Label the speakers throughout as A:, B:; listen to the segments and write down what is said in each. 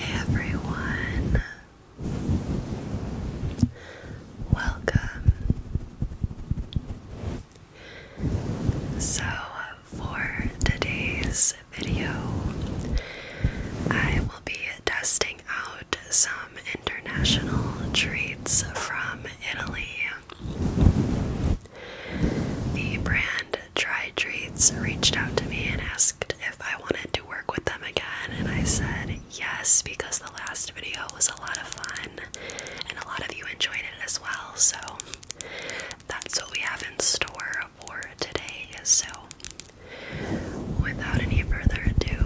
A: everyone, welcome. So, for today's video, I will be testing out some international treats from Italy. The brand Dry Treats reached out to me and asked if I wanted to work with them again, and I said yes because the last video was a lot of fun and a lot of you enjoyed it as well. So that's what we have in store for today. So without any further ado,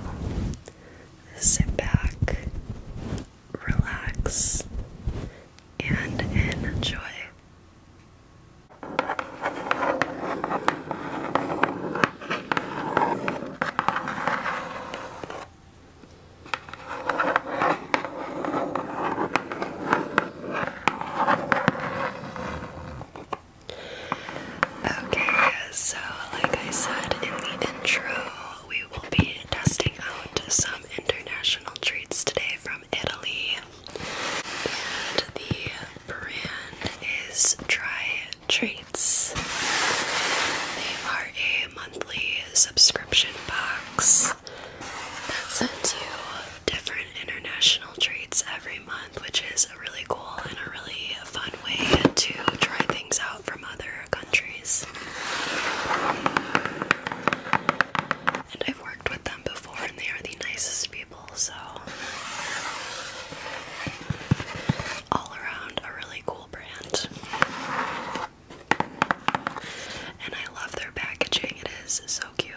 A: sit back, relax, and enjoy. Okay, so like I said in the intro, we will be testing out some international treats today from Italy. And the brand is Try Treats. They are a monthly subscription box that sends you different international treats every month, which is a really cool and a really fun way to try things out from other countries. And I've worked with them before, and they are the nicest people, so. All around, a really cool brand. And I love their packaging, it is so cute.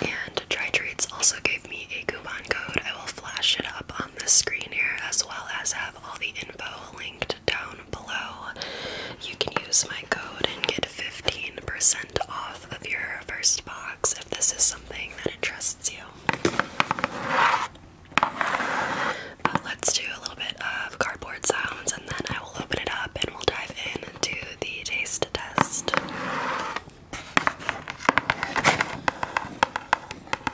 A: And Dry Treats also gave me a coupon code. I will flash it up on the screen here as well as have all the info linked down below. You can use my code and get 15% off of your first box if this is something that interests you. But let's do a little bit of cardboard sounds and then I will open it up and we'll dive into the taste test.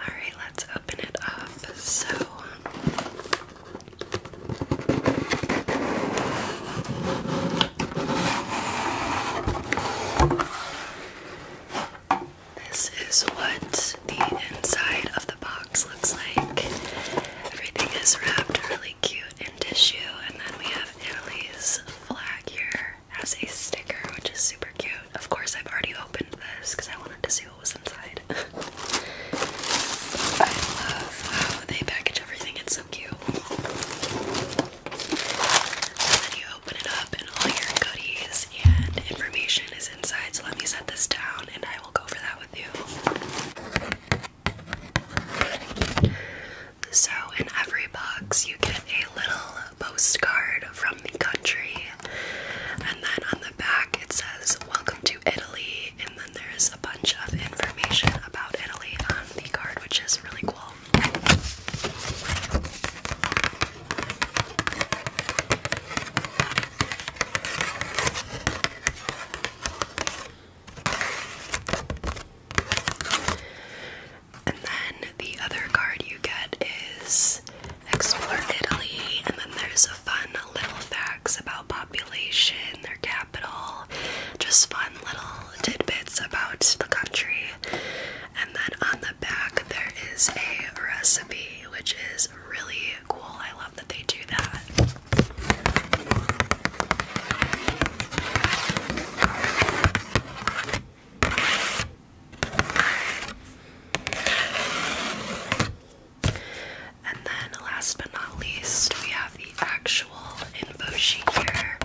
A: Alright, let's open it up. So, this is what the inside of the box looks like. Everything is wrapped really cute in tissue, and then we have Italy's flag here as a sticker, which is super cute. Of course, I've already opened this because I wanted to see I love how they package everything, it's so cute. then you open it up, and all your goodies and information is inside. So let me set this down, and I will go over that with you. So, in every box, you get a little postcard from um, country. And then on the back it says welcome to Italy and then there's a bunch of information about Italy on the card which is really cool. And then the other card you get is explore Italy, and then there's a fun little facts about population, their capital, just fun little tidbits about the country. And then on the back there is a recipe, which is really cool. I love that they do that. And then, last but not least, we have the actual info sheet here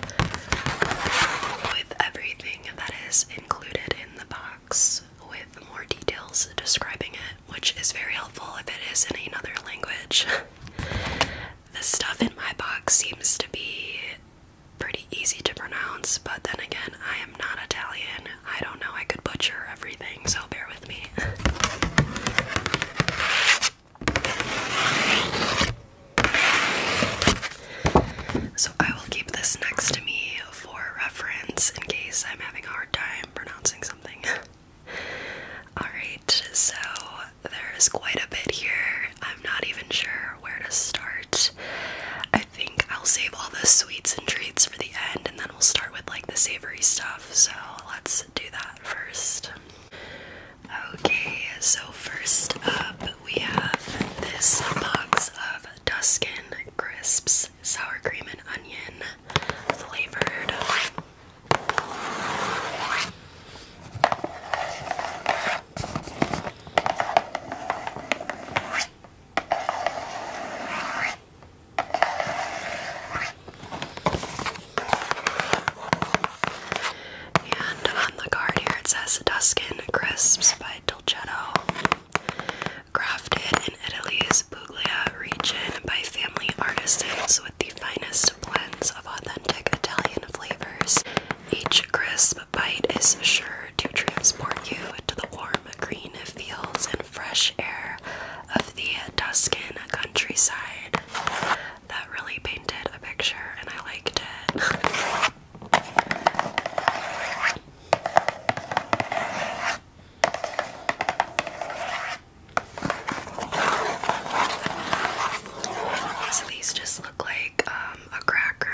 A: with everything that is included in the box with more details describing it, which is very helpful if it is in another language. the stuff in my box seems to be pretty easy to pronounce, but then again, I am not Italian I don't know, I could butcher everything, so bear with me. So I will keep this next to me for reference in case I'm having a hard time pronouncing something. Alright, so there's quite a bit here. I'm not even sure where to start. I think I'll save all the sweets and treats for the end and then we'll start with like the savory stuff. So let's do that first. Okay, so first up we have this box of Duskin Crisps Sour Cream and Onion flavored. And on the card here it says Duskin Crisps by Dolcetto. Crafted in Italy's Puglia region by family artisans with the finest blends of authentic Italian flavors. Each crisp bite is sure to transport you to the warm green fields and fresh air of the Tuscan countryside. That really painted a picture, and I liked it. So these just look like um, a cracker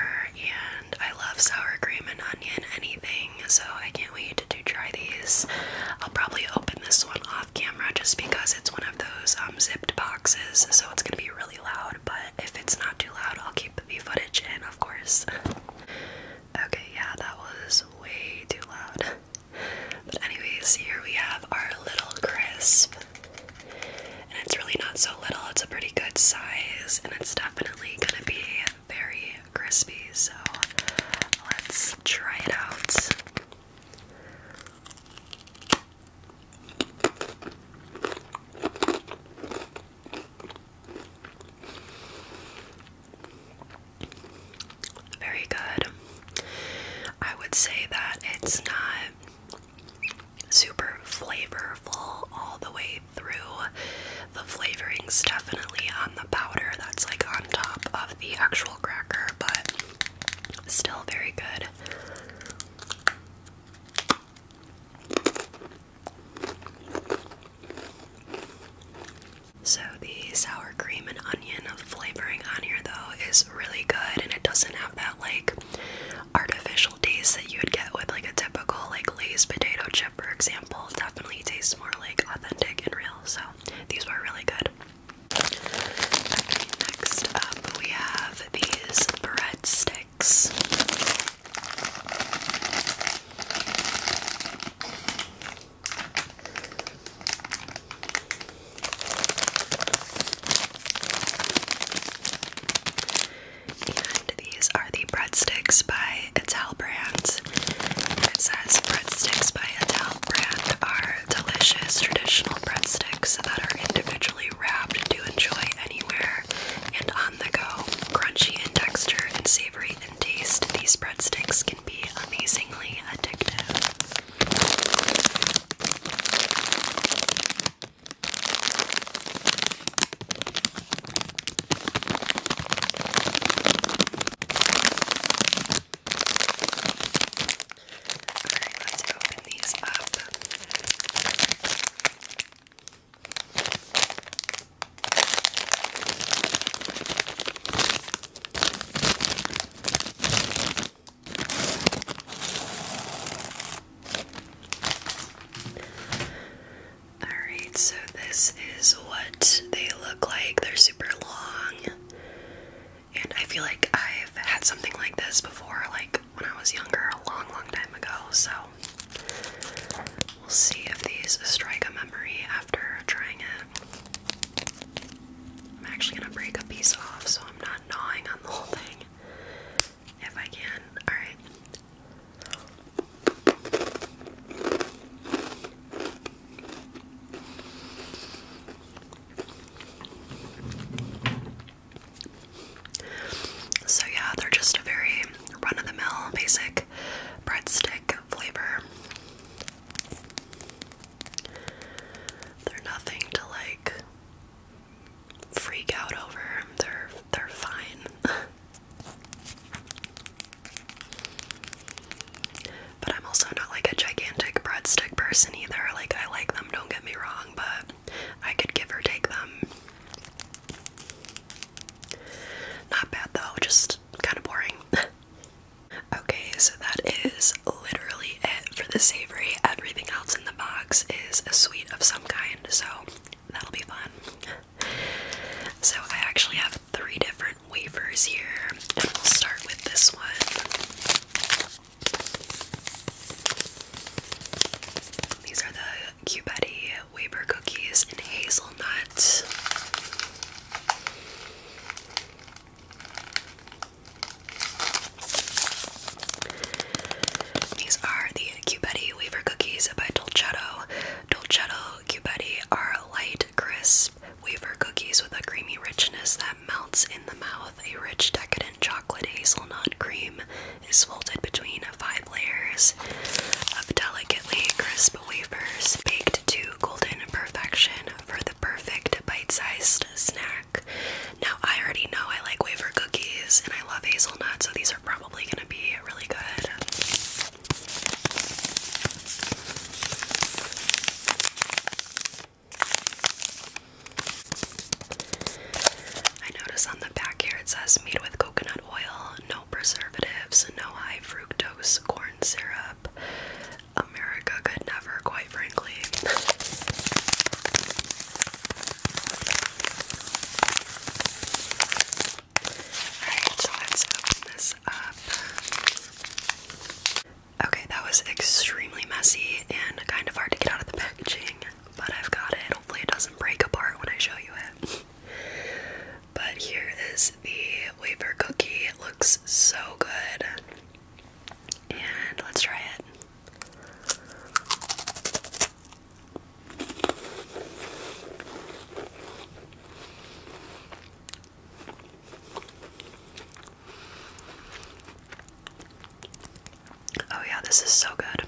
A: I love sour cream and onion anything, so I can't wait to try these. I'll probably open this one off camera just because it's one of those um, zipped boxes, so it's gonna be really loud, but if it's not too loud, I'll keep the footage And of course. okay, yeah, that was way too loud. But anyways, here we have our little crisp. And it's really not so little, it's a pretty good size, and it's definitely gonna be very crispy, so let's try it out. Very good. I would say that it's not super flavorful all the way through. The flavorings definitely on the powder that's like on top of the actual cracker, but still very good. So, the sour cream and onion flavoring on here, though, is really good and it doesn't have that like artificial special that you would get with like a typical like Lay's potato chip, for example. definitely tastes more like authentic and real. So these were really good. next up we have these breadsticks. And these are the breadsticks by Ital Brand. It says breadsticks by Ital Brand are delicious traditional breadsticks that are individually wrapped to enjoy anywhere and on the go. Crunchy and dexter and savory in taste, these breadsticks can be amazingly addictive. Alright, let's open these up. Alright, so this is what they look like. They're super long. And I feel like I've had something like this before, like when I was younger, a long, long time ago. So we'll see if these strike a memory after trying it. I'm actually gonna break a piece off so I'm not gnawing on the whole thing if I can. Alright, so, yeah, they're just a very run of the mill, basic breadstick flavor. They're nothing to like freak out over. They're they're fine. But I'm also not like a gigantic breadstick person either. Like, I like them, don't get me wrong, but I could give or take them. Not bad though, just kind of boring. okay, so that is literally it for the savory. Everything else in the box is a sweet of some kind, so That'll be fun. So, I actually have three different wafers here, and we'll start with this one. These are the Cubetti wafer cookies in hazelnut. These are the Cubetti Wafer Cookies by Dolcetto. Dolcetto Cubetti are light, crisp wafer cookies with a creamy richness that melts in the mouth. A rich, decadent chocolate hazelnut cream is folded between five layers of delicately crisp wafers, baked to golden perfection for the perfect bite-sized snack. Now, I already know I like wafer cookies and I love hazelnuts, so these are probably gonna be really good. I notice on the back here it says made with coconut oil, no preservatives, no high fructose corn syrup. America could never, quite frankly. Alright, so let's open this up. Okay, that was extremely messy and kind of hard to get out of the packaging, but I've got it. Hopefully, it doesn't break apart when I show you it. but here is the wafer cookie. It looks so good. And let's try it. Oh, yeah, this is so good.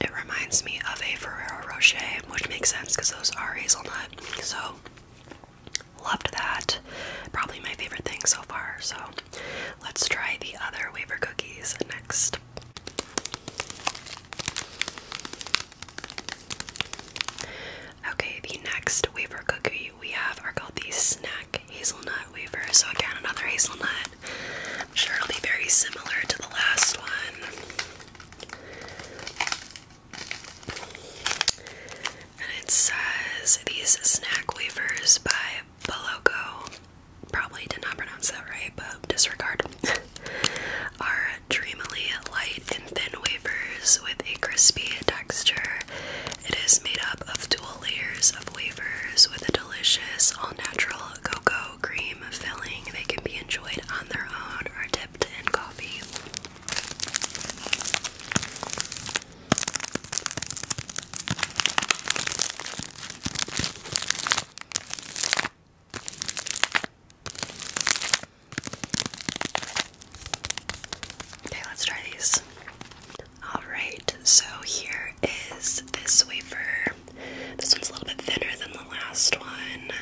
A: It reminds me of a Ferrero Rocher, which makes sense because those are hazelnut. So Loved that. Probably my favorite thing so far. So let's try the other wafer cookies next. Okay, the next wafer cookie we have are called the snack hazelnut wafers. So again, another hazelnut. sure it'll be very similar to the last one. And it says these snack wafers by Boloco. Probably did not pronounce that right, but disregard. Are dreamily light and thin wafers with a crispy texture. It is made up of dual layers of wafers with a delicious all-natural cocoa cream filling. They can be enjoyed on their own or dipped in coffee. Okay, let's try these. Alright, so here is this wafer. This one's a little bit thinner than the last one.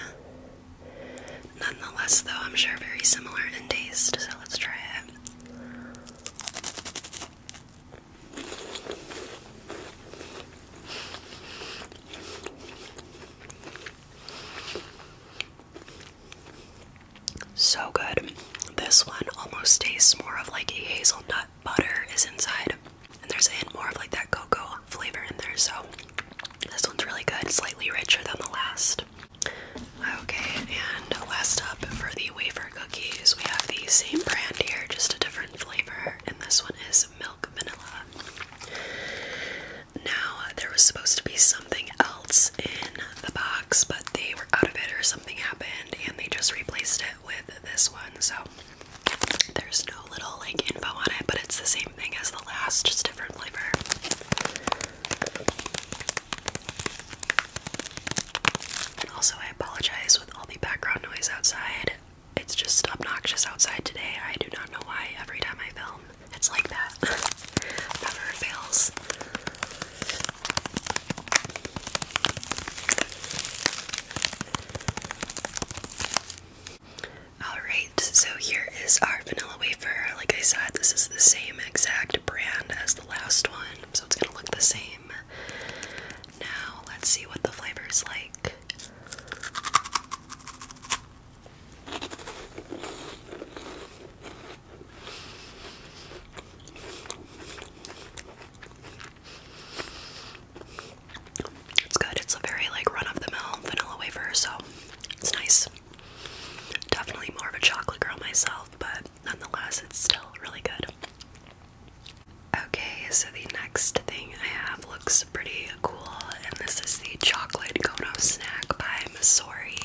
A: Nonetheless, though, I'm sure very similar in taste, so let's try it. So good. This one almost tastes more of like a hazelnut butter is inside, and there's a hint more of like that cocoa flavor in there. So this one's really good, slightly richer than the last. Okay, and last up for the wafer cookies, we have the same brand here, just a different flavor, and this one is milk vanilla. Now, there was supposed to be something else in the box, but they were out of it or something happened, and they just replaced it with this one, so there's no little like info on it, but it's the same same thing as the last, just different flavor. also, I apologize with all the background noise outside. It's just obnoxious outside today. I do not know why every time I film it's like that. Never fails. Alright, so here is our vanilla wafer. Like I said, this is the same exact brand as the last one, so it's gonna look the same. Now, let's see what the flavor is like. It's good. It's a very like run of the mill vanilla wafer, so it's nice. Definitely more of a chocolate girl myself, but nonetheless, it's still really good. Okay, so the next thing I have looks pretty cool, and this is the Chocolate Kono Snack by Misori.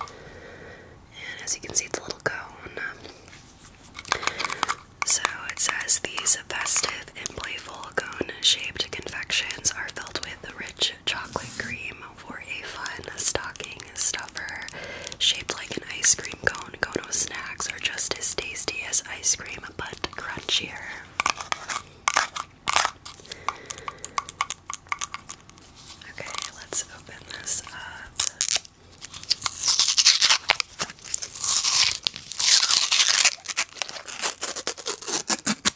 A: And as you can see, it's a little cone. So it says these festive playful cone-shaped confections are filled with rich chocolate cream for a fun stocking stuffer. Shaped like an ice cream cone, Kono snacks are just as tasty as ice cream, but crunchier. Okay, let's open this up. Oh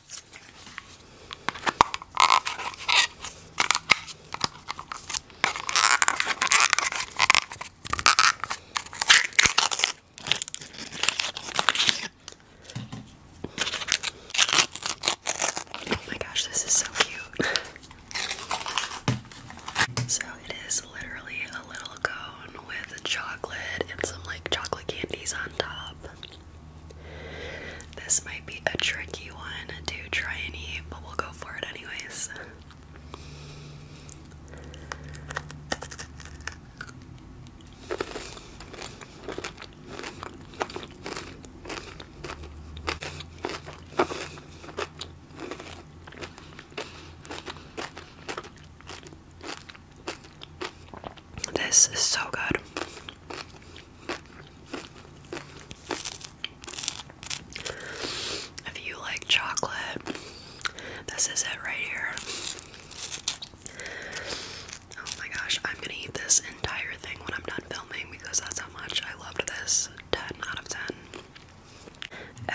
A: my gosh, this is so cute. so it is literally a little cone with chocolate and some like chocolate candies on this might be a tricky one to try and eat, but we'll go for it anyways. This is so good. If you like chocolate, this is it right here. Oh my gosh, I'm gonna eat this entire thing when I'm done filming because that's how much I loved this. 10 out of 10.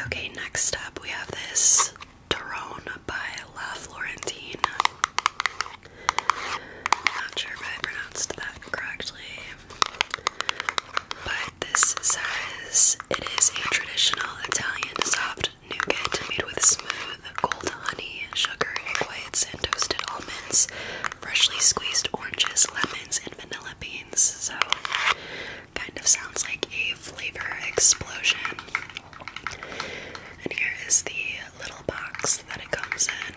A: Okay, next up we have this Tyrone by La Florentine. Not sure if I pronounced that correctly. But this says it is a traditional Italian soft nougat made with smooth gold honey, sugar, egg whites, and toasted almonds, freshly squeezed oranges, lemons, and vanilla beans. So, kind of sounds like a flavor explosion. And here is the little box that it comes in.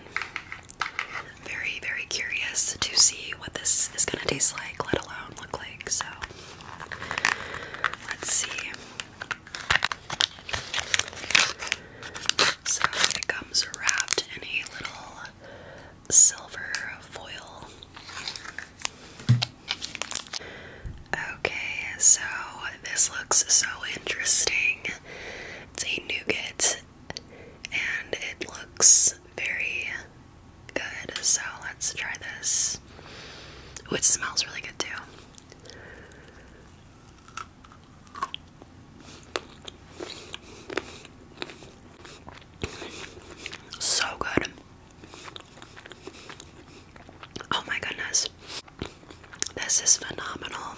A: Very, very curious to see what this is gonna taste like, let alone look like. So, let's see. So, it comes wrapped in a little silver foil. Okay, so this looks so interesting. It's a nougat and it looks very good. So let's try this. it smells really good too. So good. Oh my goodness. This is phenomenal.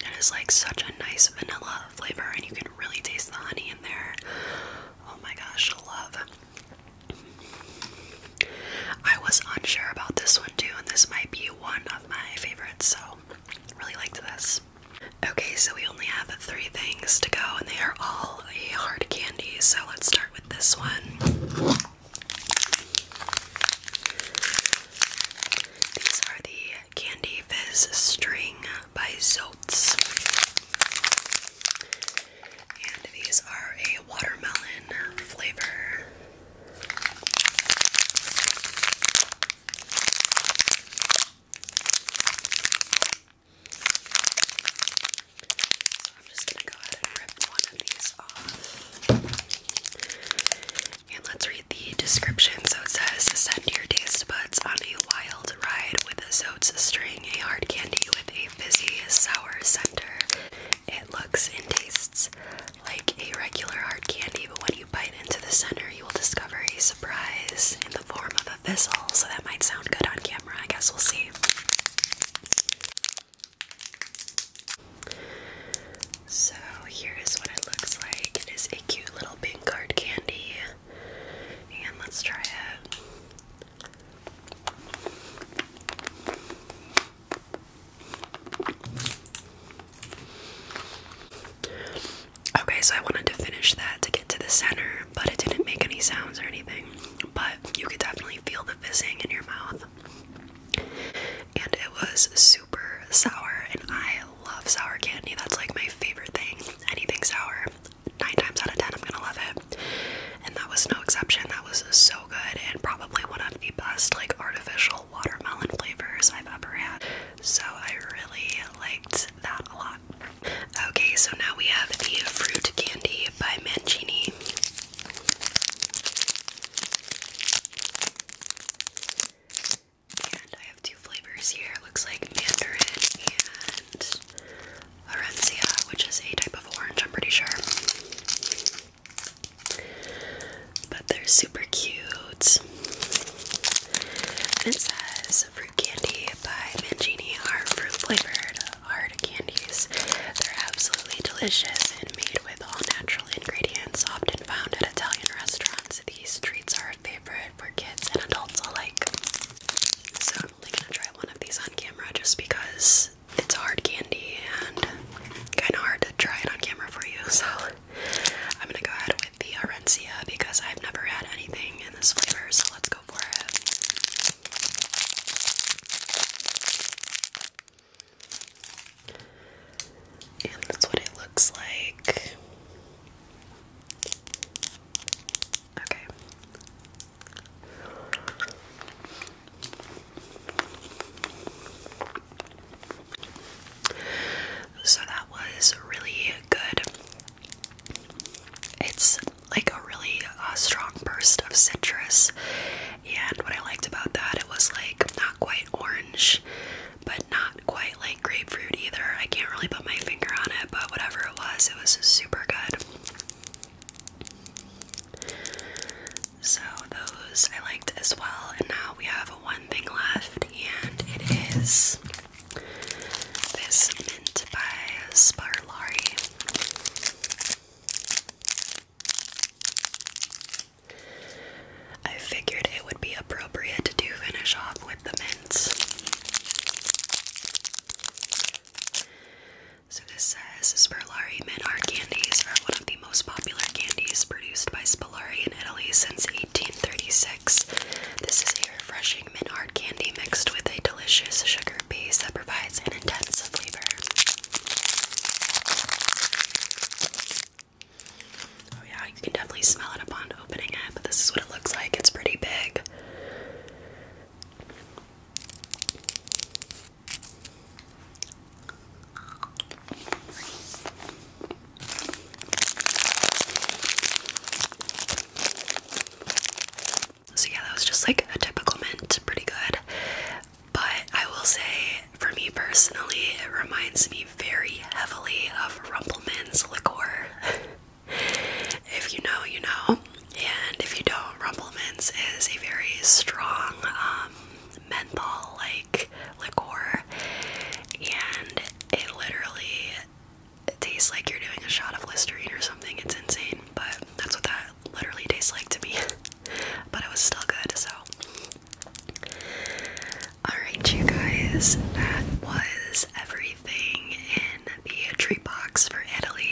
A: It is like such a nice vanilla flavor, and you can really taste the honey in there. Oh my gosh, love. I was unsure about this one too, and this might be one of my favorites, so really liked this. Okay, so we only have three things to go, and they are all hard candy, so let's start with this one. These are the Candy Fizz String by Zotes. And these are a watermelon flavor. So I'm just gonna go ahead and rip one of these off. And let's read the description. So it says send your taste buds on a wild ride with a Zotes string, a hard candy with a fizzy sour center. It looks and tastes like a regular hard candy, but when you bite into the center, you will discover a surprise in the form of a fizzle. So that might sound good on camera. I guess we'll see. So here is what it looks like. It is a cute little pink card candy. And let's try it. Okay, so I wanted to finish that to get to the center, but it didn't make any sounds or anything. But you could definitely feel the fizzing in your mouth and it was super sour and I love sour candy. That's like my favorite thing. Anything sour, nine times out of ten, I'm gonna love it. And that was no exception. That was so good and probably one of the best like artificial watermelon flavors I've ever had. So I really liked that a lot. Okay, so now we have the fruit candy Beauty by Mancini. And I have two flavors here. It looks like mandarin and orencia, which is a type of orange, I'm pretty sure. But they're super cute. And it says fruit candy by Mangini are fruit flavored hard candies. They're absolutely delicious and made with all natural ingredients, often found at Italian restaurants. These treats are a favorite for kids and adults alike. So I'm only gonna try one of these on camera just because it's hard candy and kind of hard to try it on camera for you. So I'm gonna go ahead with the Arencia because I've never had anything in this flavor. So let's go for it. And that's what it looks like. Okay. So that was really good. It's like a really uh, strong burst of citrus. And what I liked about that, it was like not quite orange, but not quite like grapefruit either. I can't really put my finger on it, but whatever it was, it was super good. So those I liked as well. And now we have one thing left, and it is this mint by Sparlari. I figured it would be appropriate to do finish off with the mints. So this says Spirlari mint art candies are one of the most popular candies produced by Spirlari in Italy since 1836. This is a refreshing mint art candy mixed with a delicious sugar base that provides an intense flavor. Oh, yeah, you can definitely smell it upon opening it, but this is what it looks like. It's pretty big. So yeah, that was just like a typical mint, pretty good. But I will say, for me personally, it reminds me very heavily of Rumpleman's liquor. if you know, you know. And if you don't, Rumpleman's is a very strong um, menthol-like liquor, and it literally tastes like you're doing a shot of Listerine or something. It's insane but that's what that literally tastes like to me. but it was still good, so. Alright, you guys, that was everything in the treat box for Italy.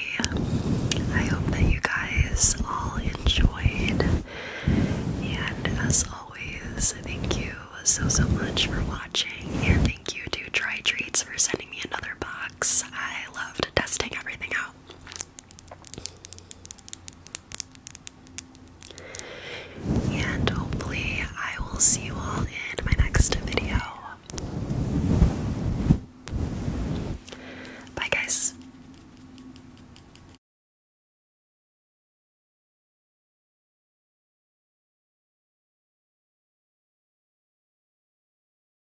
A: I hope that you guys all enjoyed. And as always, thank you so, so much for watching. And thank you to Try Treats for sending me another box. I loved testing everything out. And hopefully, I will see you all in my next video. Bye, guys.